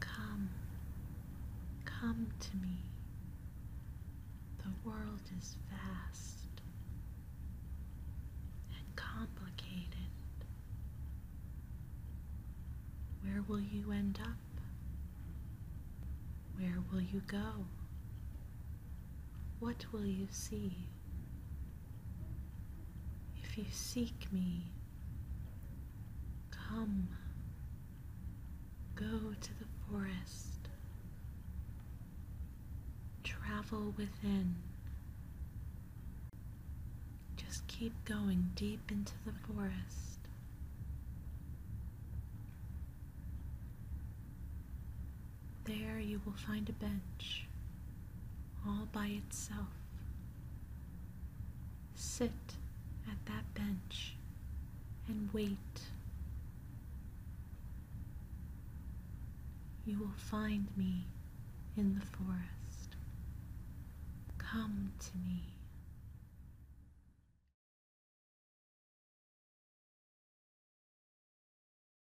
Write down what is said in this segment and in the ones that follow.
Come, come to me. The world is vast and complicated. Where will you end up? Where will you go? What will you see? If you seek me, come, go to the forest, travel within. Just keep going deep into the forest. There you will find a bench all by itself. Sit at that bench and wait. You will find me in the forest. Come to me.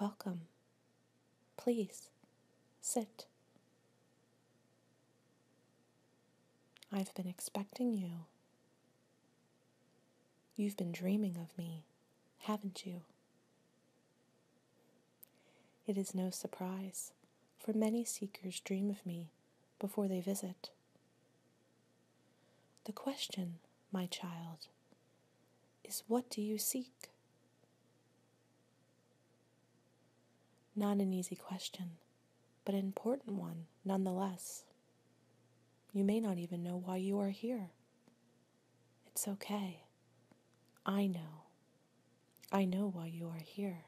Welcome. Please sit. I've been expecting you. You've been dreaming of me, haven't you? It is no surprise, for many seekers dream of me before they visit. The question, my child, is what do you seek? Not an easy question, but an important one nonetheless. You may not even know why you are here. It's okay. I know. I know why you are here.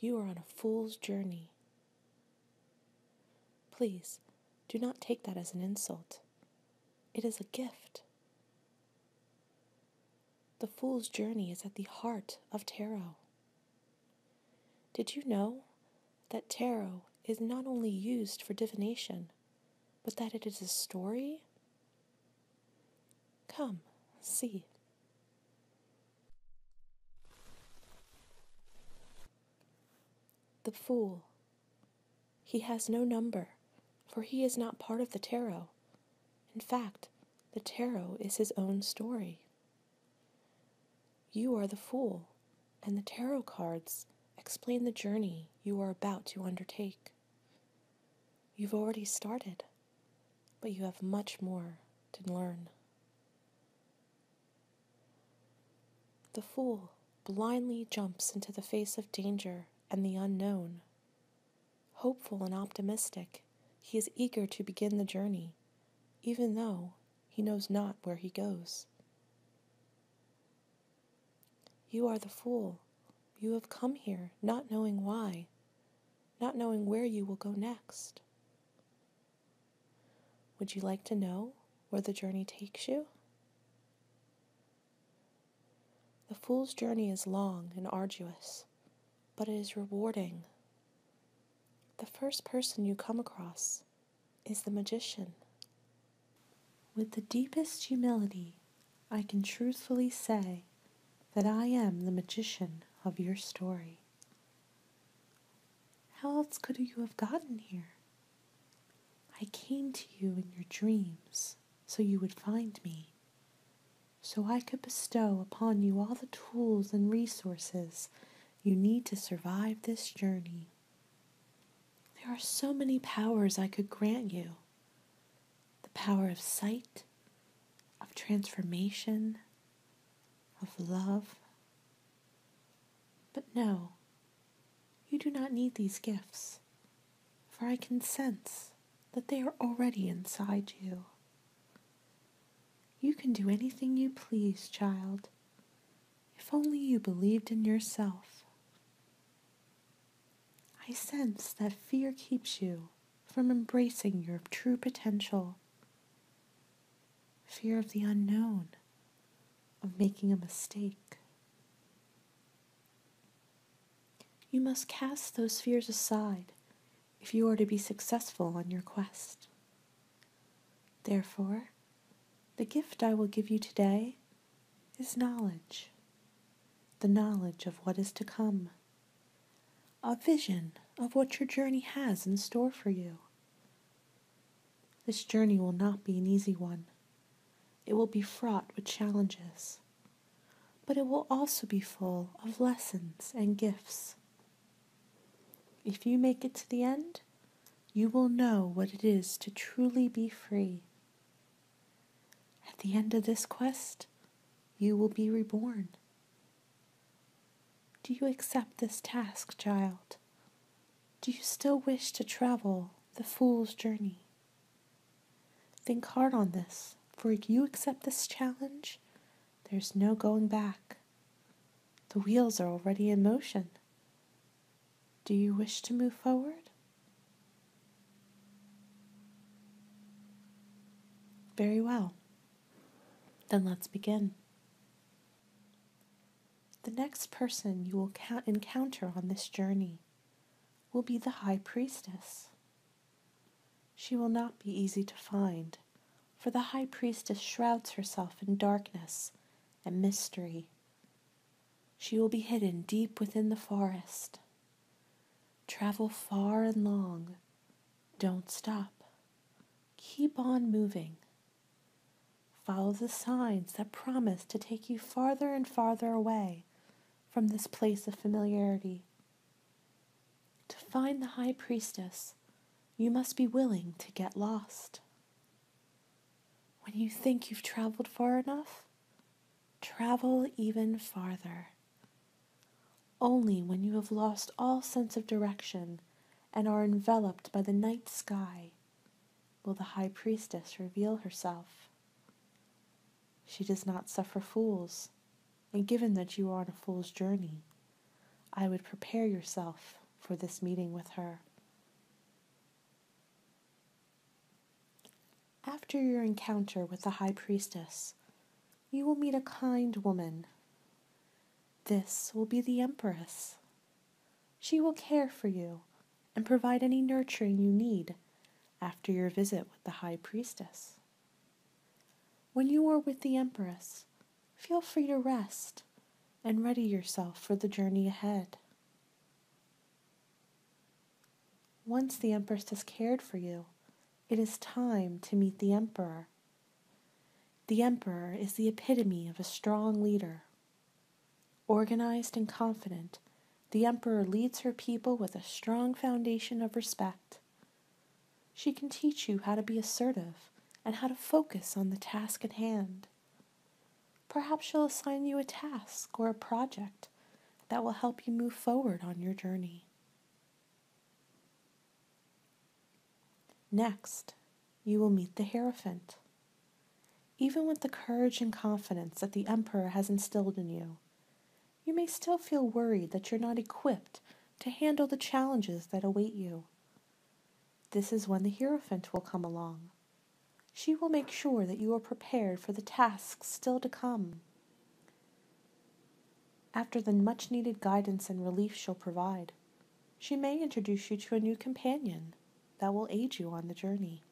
You are on a fool's journey. Please, do not take that as an insult. It is a gift. The fool's journey is at the heart of tarot. Did you know that tarot is not only used for divination, but that it is a story? Come, see. The Fool. He has no number, for he is not part of the tarot. In fact, the tarot is his own story. You are the fool, and the tarot cards explain the journey you are about to undertake. You've already started, but you have much more to learn. The fool blindly jumps into the face of danger and the unknown. Hopeful and optimistic, he is eager to begin the journey, even though he knows not where he goes. You are the fool. You have come here not knowing why, not knowing where you will go next. Would you like to know where the journey takes you? The fool's journey is long and arduous, but it is rewarding. The first person you come across is the magician. With the deepest humility, I can truthfully say that I am the magician of your story. How else could you have gotten here? I came to you in your dreams so you would find me, so I could bestow upon you all the tools and resources you need to survive this journey. There are so many powers I could grant you the power of sight, of transformation, of love. But no, you do not need these gifts, for I can sense that they are already inside you. You can do anything you please, child, if only you believed in yourself. I sense that fear keeps you from embracing your true potential. Fear of the unknown, of making a mistake. You must cast those fears aside if you are to be successful on your quest. Therefore, the gift I will give you today is knowledge, the knowledge of what is to come, a vision of what your journey has in store for you. This journey will not be an easy one. It will be fraught with challenges, but it will also be full of lessons and gifts. If you make it to the end, you will know what it is to truly be free at the end of this quest, you will be reborn. Do you accept this task, child? Do you still wish to travel the fool's journey? Think hard on this, for if you accept this challenge, there's no going back. The wheels are already in motion. Do you wish to move forward? Very well. Then let's begin. The next person you will encounter on this journey will be the High Priestess. She will not be easy to find, for the High Priestess shrouds herself in darkness and mystery she will be hidden deep within the forest. Travel far and long. Don't stop. Keep on moving. Follow the signs that promise to take you farther and farther away from this place of familiarity. To find the High Priestess, you must be willing to get lost. When you think you've traveled far enough, Travel even farther. Only when you have lost all sense of direction and are enveloped by the night sky will the high priestess reveal herself. She does not suffer fools, and given that you are on a fool's journey, I would prepare yourself for this meeting with her. After your encounter with the High Priestess, you will meet a kind woman. This will be the Empress. She will care for you and provide any nurturing you need after your visit with the High Priestess. When you are with the Empress, feel free to rest and ready yourself for the journey ahead. Once the Empress has cared for you, it is time to meet the Emperor. The Emperor is the epitome of a strong leader. Organized and confident, the Emperor leads her people with a strong foundation of respect. She can teach you how to be assertive and how to focus on the task at hand. Perhaps she'll assign you a task or a project that will help you move forward on your journey. Next, you will meet the Hierophant. Even with the courage and confidence that the Emperor has instilled in you, you may still feel worried that you're not equipped to handle the challenges that await you. This is when the Hierophant will come along. She will make sure that you are prepared for the tasks still to come. After the much needed guidance and relief she'll provide, she may introduce you to a new companion that will aid you on the journey.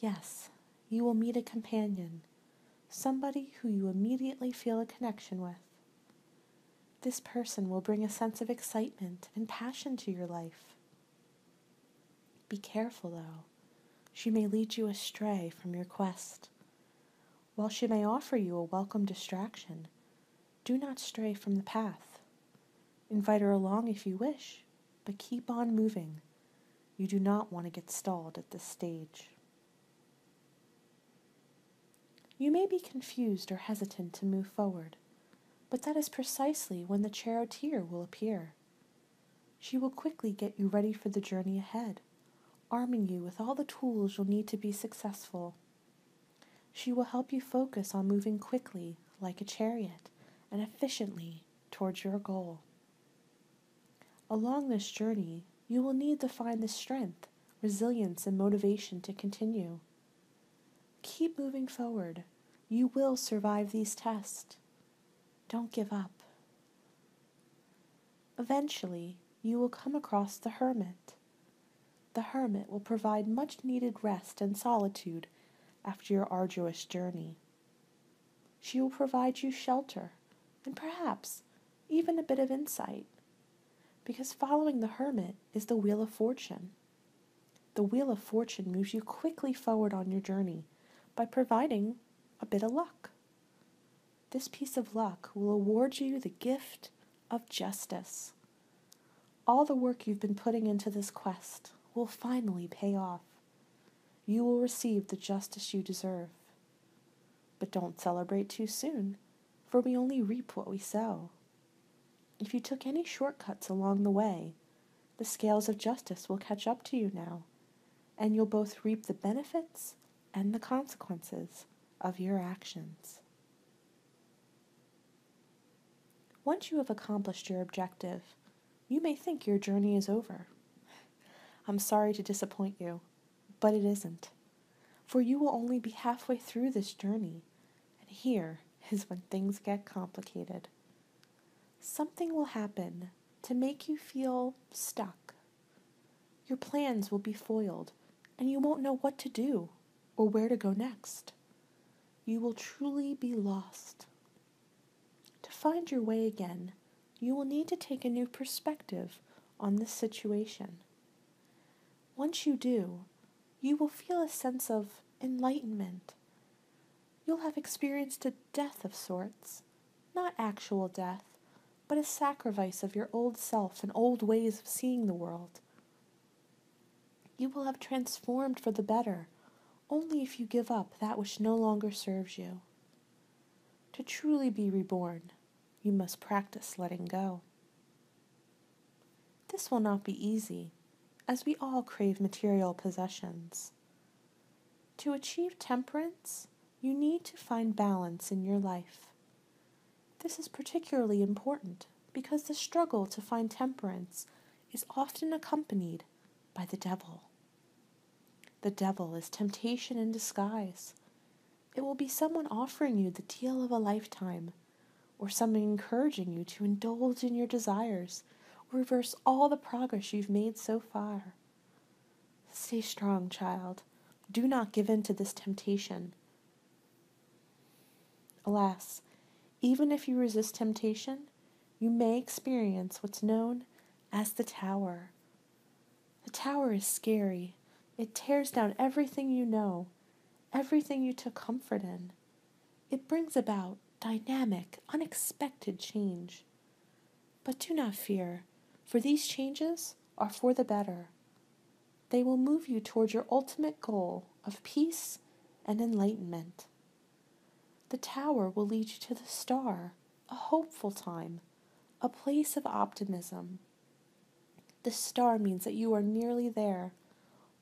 Yes, you will meet a companion, somebody who you immediately feel a connection with. This person will bring a sense of excitement and passion to your life. Be careful, though. She may lead you astray from your quest. While she may offer you a welcome distraction, do not stray from the path. Invite her along if you wish, but keep on moving. You do not want to get stalled at this stage. You may be confused or hesitant to move forward, but that is precisely when the charioteer will appear. She will quickly get you ready for the journey ahead, arming you with all the tools you'll need to be successful. She will help you focus on moving quickly, like a chariot, and efficiently towards your goal. Along this journey, you will need to find the strength, resilience, and motivation to continue. Keep moving forward. You will survive these tests. Don't give up. Eventually, you will come across the hermit. The hermit will provide much needed rest and solitude after your arduous journey. She will provide you shelter and perhaps even a bit of insight, because following the hermit is the wheel of fortune. The wheel of fortune moves you quickly forward on your journey by providing a bit of luck. This piece of luck will award you the gift of justice. All the work you've been putting into this quest will finally pay off. You will receive the justice you deserve. But don't celebrate too soon, for we only reap what we sow. If you took any shortcuts along the way, the scales of justice will catch up to you now, and you'll both reap the benefits and the consequences of your actions. Once you have accomplished your objective, you may think your journey is over. I'm sorry to disappoint you, but it isn't. For you will only be halfway through this journey, and here is when things get complicated. Something will happen to make you feel stuck. Your plans will be foiled, and you won't know what to do or where to go next. You will truly be lost. To find your way again, you will need to take a new perspective on this situation. Once you do, you will feel a sense of enlightenment, you'll have experienced a death of sorts. Not actual death, but a sacrifice of your old self and old ways of seeing the world. You will have transformed for the better, only if you give up that which no longer serves you. To truly be reborn, you must practice letting go. This will not be easy, as we all crave material possessions. To achieve temperance, you need to find balance in your life. This is particularly important because the struggle to find temperance is often accompanied by the devil. The devil is temptation in disguise. It will be someone offering you the deal of a lifetime or someone encouraging you to indulge in your desires reverse all the progress you've made so far. Stay strong, child. Do not give in to this temptation. Alas, even if you resist temptation, you may experience what's known as the tower. The tower is scary. It tears down everything you know, everything you took comfort in. It brings about dynamic, unexpected change. But do not fear, for these changes are for the better. They will move you toward your ultimate goal of peace and enlightenment. The tower will lead you to the star, a hopeful time, a place of optimism. The star means that you are nearly there,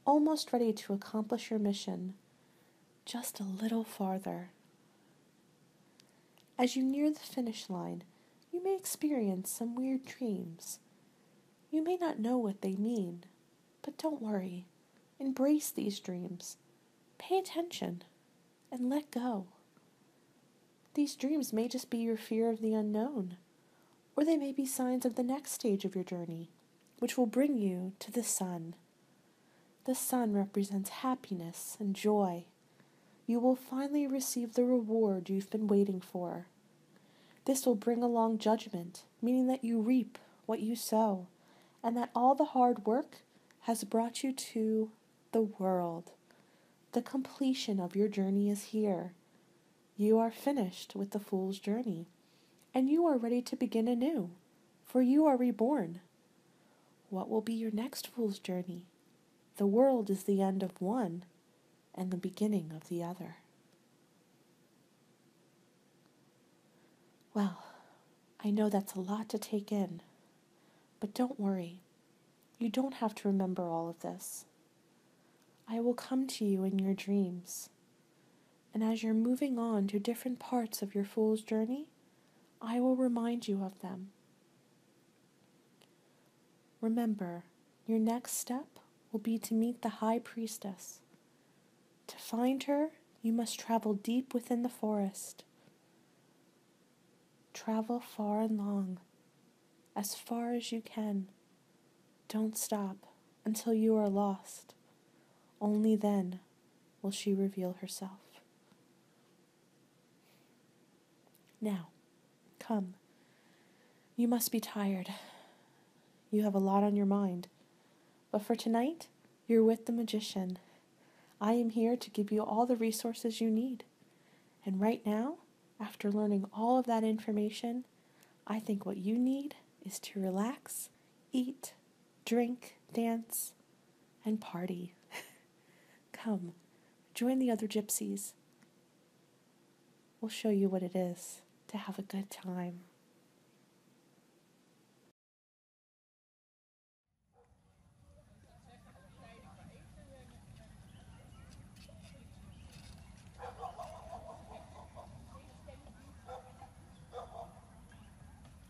almost ready to accomplish your mission, just a little farther. As you near the finish line, you may experience some weird dreams. You may not know what they mean, but don't worry. Embrace these dreams. Pay attention and let go. These dreams may just be your fear of the unknown, or they may be signs of the next stage of your journey, which will bring you to the sun. The sun represents happiness and joy. You will finally receive the reward you've been waiting for. This will bring along judgment, meaning that you reap what you sow, and that all the hard work has brought you to the world. The completion of your journey is here. You are finished with the fool's journey, and you are ready to begin anew, for you are reborn. What will be your next fool's journey? The world is the end of one and the beginning of the other. Well, I know that's a lot to take in, but don't worry. You don't have to remember all of this. I will come to you in your dreams. And as you're moving on to different parts of your fool's journey, I will remind you of them. Remember, your next step will be to meet the high priestess. To find her, you must travel deep within the forest. Travel far and long, as far as you can. Don't stop until you are lost. Only then will she reveal herself. Now, come. You must be tired. You have a lot on your mind. But for tonight, you're with the magician. I am here to give you all the resources you need. And right now, after learning all of that information, I think what you need is to relax, eat, drink, dance, and party. Come, join the other gypsies. We'll show you what it is to have a good time.